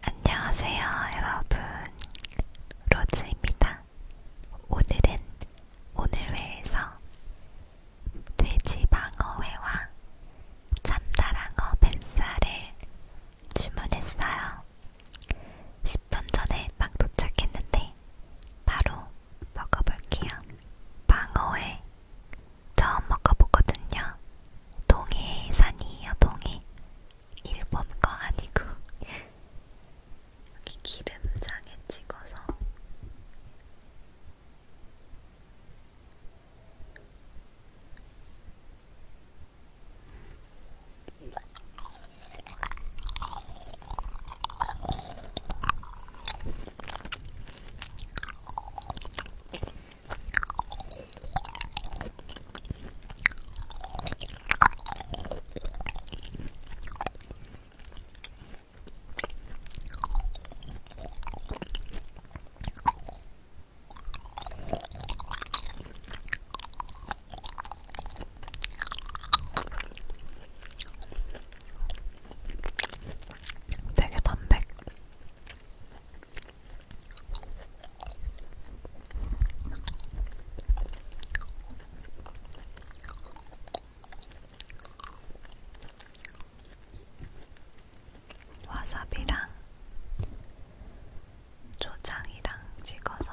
안녕하세요, 여러분. 로즈입니다. 오늘은 오늘회에서 돼지방어회와 참다랑어 벤살을 주문했어요. 10분 전에 막 도착했는데 바로 먹어볼게요. 방어회 처음 먹어보거든요. 동해 산이에요, 동해. 일본 거 아니고. 여기 기름장에 찍어서. 되게 담백 와사비랑 초장이랑 찍어서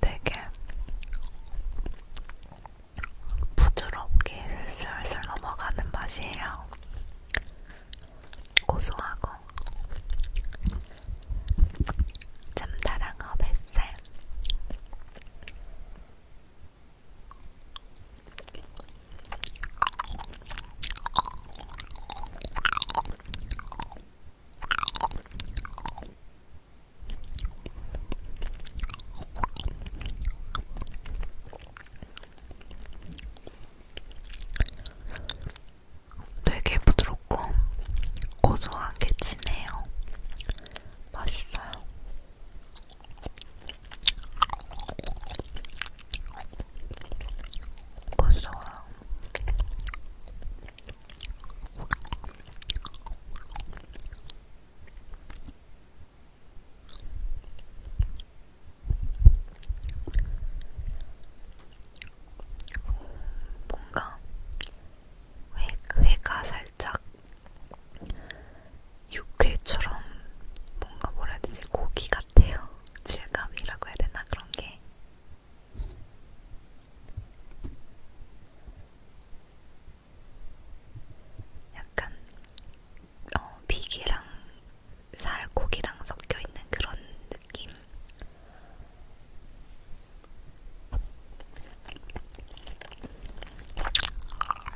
되게 부드럽게 슬슬 넘어가는 맛이에요. 고소하고 참다랑어 뱃살 되게 부드럽고 고소하게 진해요. 맛있어요. 맛있어요. 뭔가 회가 살짝 육회처럼 뭔가 뭐라 해야 되지? 고기 같아요. 질감이라고 해야 되나? 그런 게. 약간 어, 비계랑 살코기랑 섞여있는 그런 느낌?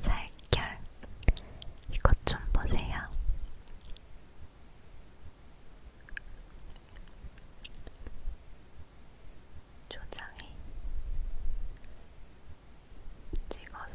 살결 이것 좀 보세요. 조장이 찍어서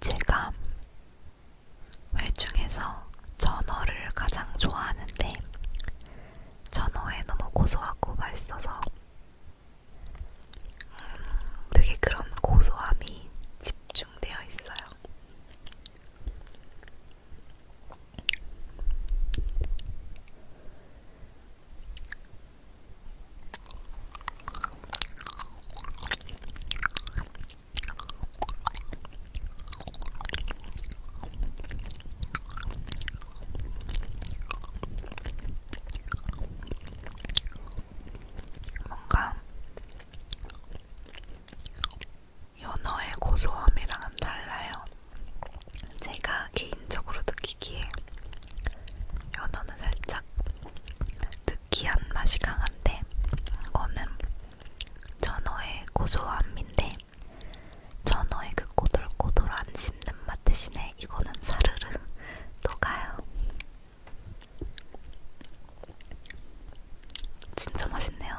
제가 회중에서 전어를 가장 좋아하는데 전어에 너무 고소하고 맛있어서 음, 되게 그런 고소함이 집중되어 있어요. 뭔가 연어의 고소함이랑은 달라요. 제가 개인적으로 느끼기에 연어는 살짝 느끼한 맛이 강한데 이거는 전어의 고소함인데 전어의 그 꼬돌꼬돌한 씹는 맛 대신에 이거는 사르르 녹아요. 진짜 맛있네요.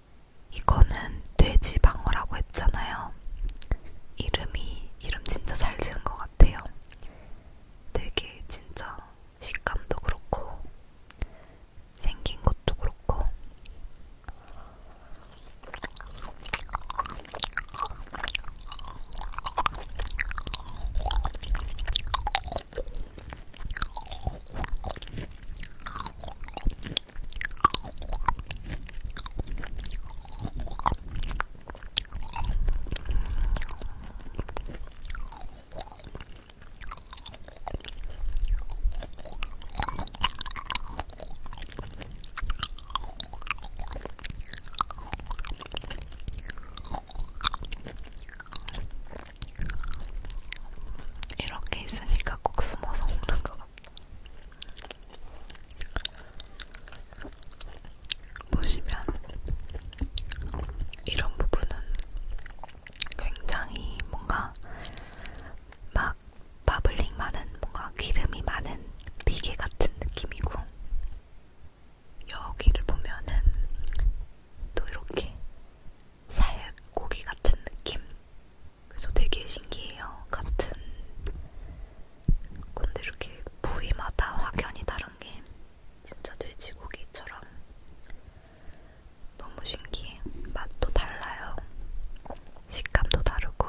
이거는 돼지 방어라고 했잖아요. 이름이 이름 진짜 잘 지은 것 같아요. 되게 진짜 식감도 그렇고 생긴 것도 그렇고 이렇게 있으니까 꼭 숨어서 먹는 것 같아요. 보시면 이런 부분은 굉장히 뭔가 막 바블링 많은 뭔가 기름이 많은 비계 같은 느낌이고 여기를 보면은 또 이렇게 살고기 같은 느낌 그래서 되게 신기해요. 같은 근데 이렇게 부위마다 확연히 다른 게 진짜 돼지고기처럼 너무 신기해. 맛도 달라요. 식감도 다르고.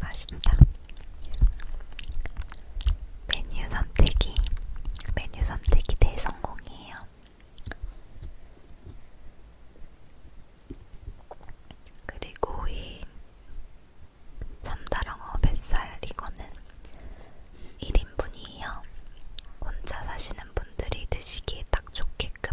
맛있다. 메뉴 선택이 메뉴 선택이 대성공이에요. 그리고 이 참다랑어 뱃살 이거는 1인분이에요. 혼자 사시는 분들이 드시기에 딱 좋게끔.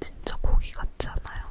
진짜 고기 같지 않아요?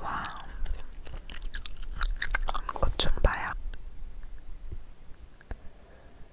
와, 꽃좀 봐요.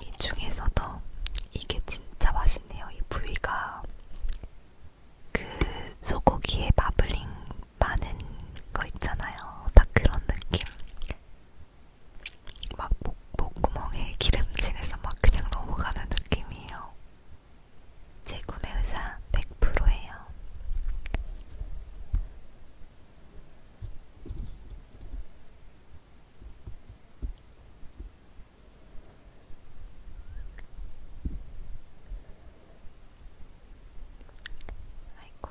이 중에서도 이게 진짜 맛있네요. 이 부위가 그 소고기의 마블링 많은 거 있잖아요. 딱 그런 느낌. 막 목, 목구멍에 기름칠해서 막 그냥 넘어가는 느낌이에요. 제 구매 의사 100%예요. 아이고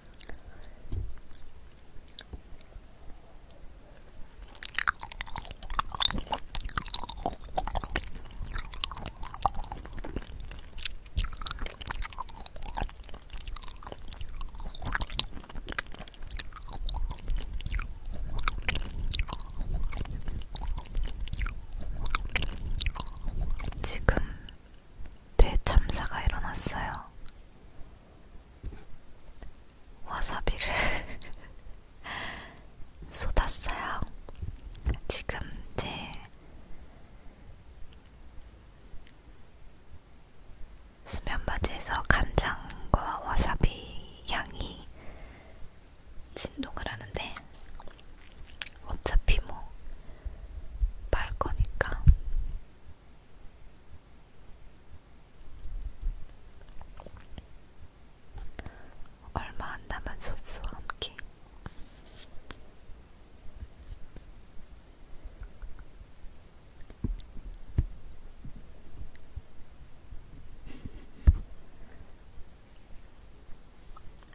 지금 대참사가 일어났어요. 와사비를 쏟았어요. 지금 제 수면 바지에서 간장과 와사비 향이 진동을 하는데 어차피 뭐, 말 거니까. 얼마 안 남은 소스와 함께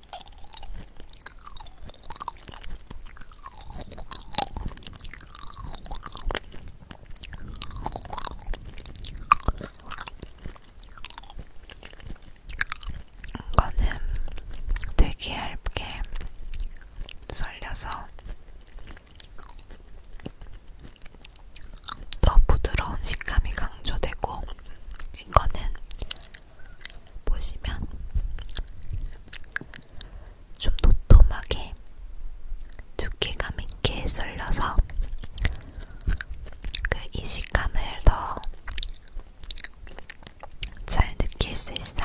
이거는 되게 얇게 썰려서 더 부드러운 식감이 강조되고 이거는 보시면 좀 도톰하게 두께감 있게 썰려서 그 이식감을 더 잘 느낄 수 있어요.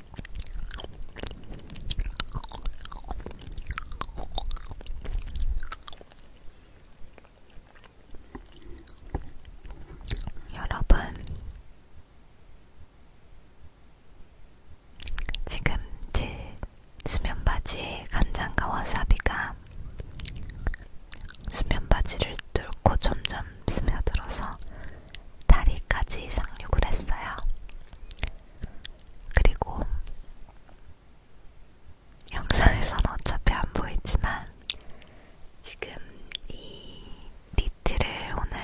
여러분, 지금 제 수면 바지에 간장과 와사비가 수면 바지를 뚫고 점점 스며들어서 다리까지 상륙을 했어요. 그리고 영상에선 어차피 안 보이지만 지금 이 니트를 오늘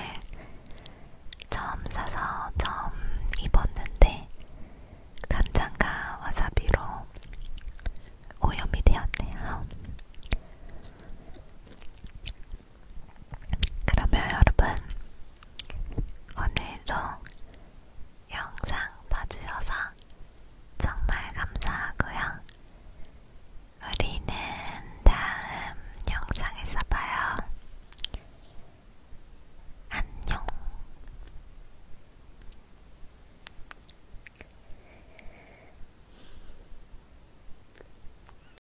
처음 사서 처음 입었는데 간장과 와사비로 오염이 되었네요. 그러면 여러분, 오늘도 영상 봐주셔서 정말 감사하고요. 우리는 다음 영상에서 봐요. 안녕.